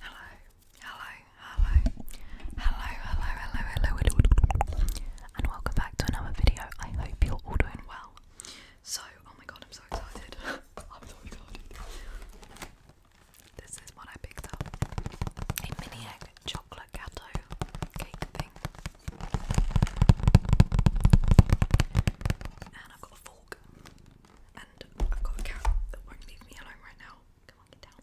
Hello, hello, hello, hello, hello, hello, hello, and welcome back to another video. I hope you're all doing well. So, oh my god, I'm so excited. I'm so This is what I picked up a mini egg chocolate gato cake thing. And I've got a fork and I've got a cat that won't leave me alone right now. Come on, get down.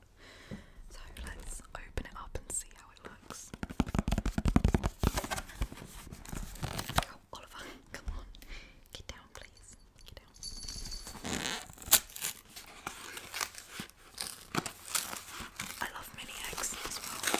So let's open it up and see how it looks. Oh, Oliver, come on. Get down, please. Get down. I love mini eggs as well.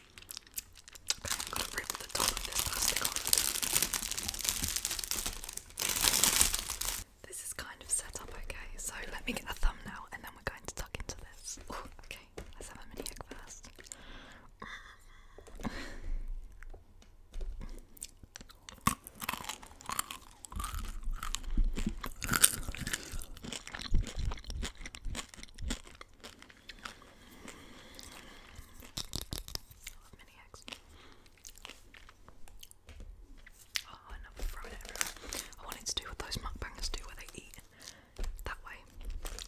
Okay, this is kind of set up okay, so let me get a thumbnail and then we're going to tuck into this. okay, let's have a mini egg first. Oh, I wanted to do what those mukbangers do where they eat that way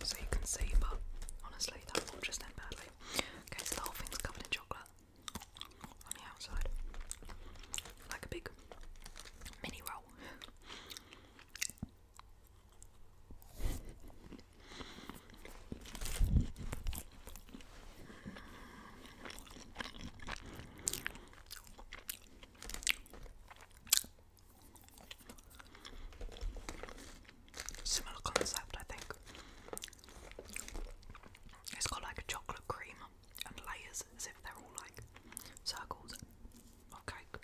so you can see, but honestly, that will just end badly. Okay, the whole thing's covered in chocolate on the outside. Like a big mini roll. Similar concept, I think. It's got like a chocolate cream and layers as if they're all like circles of cake.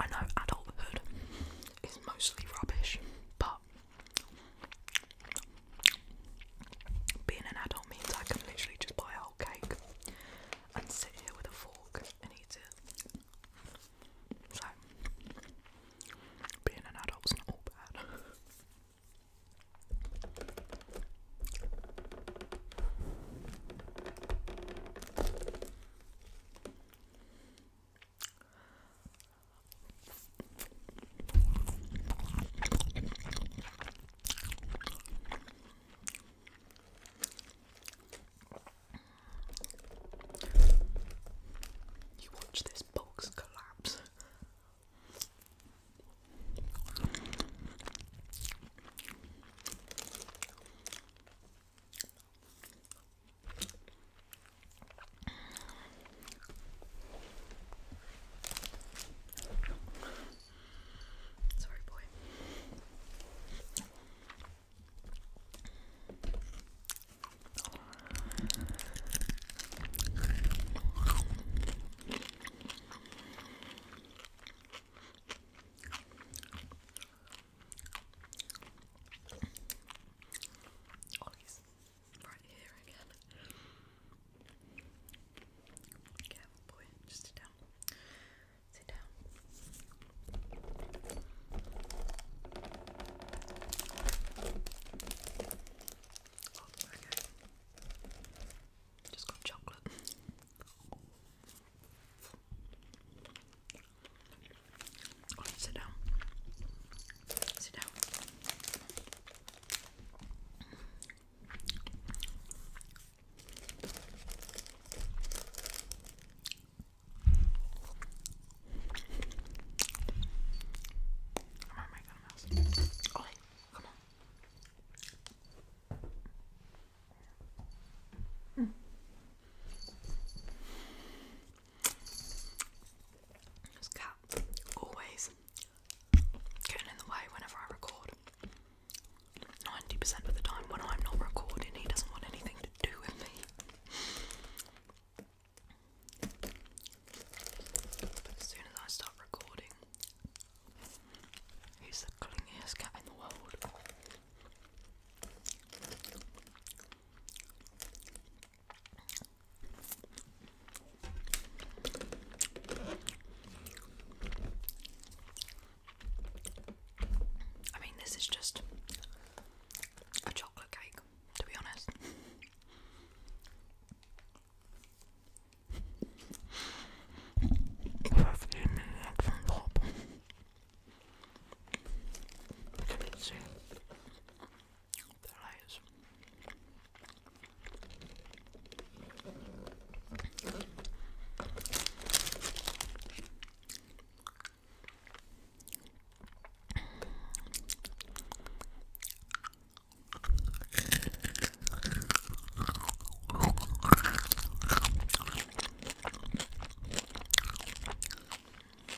I know adulthood is mostly rubbish, but being an adult means I can literally just buy a whole cake and sit here with a fork and eat it. So, being an adult's not all bad. You watch this box collapse. Sorry, boy. Oh, right here again. Careful, boy. Just sit down. Sit down. Just got chocolate sit down. Sit down. Where am I going come on. Mm. This cat always getting in the way whenever I record. 90% of the time when I'm not recording, he doesn't want anything to do with me. But as soon as I start recording, he's the clingiest cat in the world. I mean, this is just a chocolate cake, to be honest. You can see their eyes.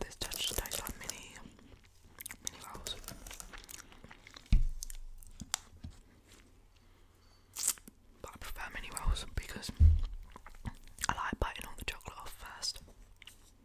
This touch tastes mini, mini rolls. But prefer mini rolls because I like biting all the chocolate first.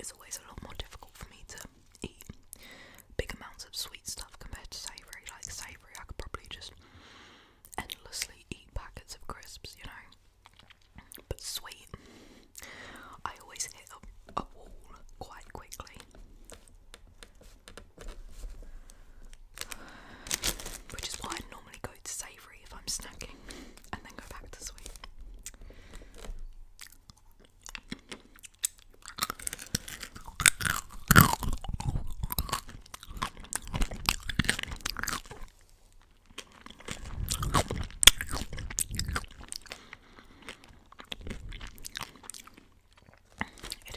It's always a lot more difficult for me to eat big amounts of sweet stuff compared to savoury. Like savoury, I could probably just endlessly eat packets of crisps, you know. But sweet, I always hit a, wall quite quickly. Which is why I normally go to savoury if I'm snacking and then go back to sweet. It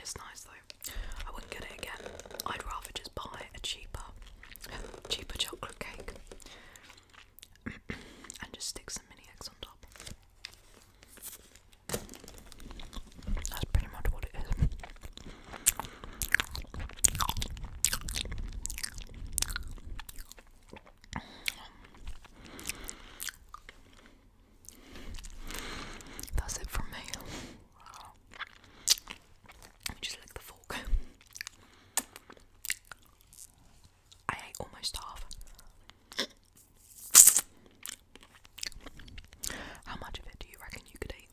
is nice though. I wouldn't get it again. I'd rather just buy a cheaper, cheaper chocolate cake and just stick some mini eggs on top. That's pretty much what it is. That's it from me just lick the fork. I ate almost half. How much of it do you reckon you could eat?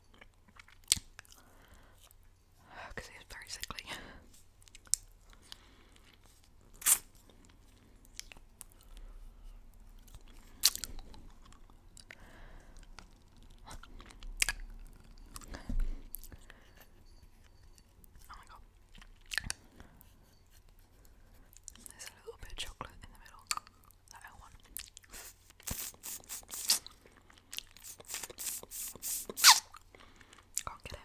Because it very sickly. oh my god there's a little bit of chocolate in the middle that I Can't get it.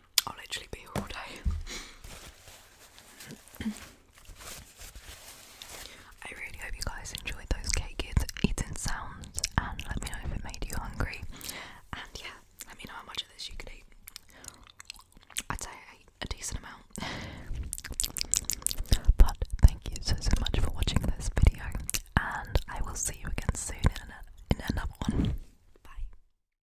I'll literally be here all day. I really hope you guys enjoyed those cake eating sounds and let me know if it made you hungry. And yeah, let me know how much of this you could eat. I'd say I ate a decent amount. but thank you so so much for watching this video and I will see you again soon in another one. Bye.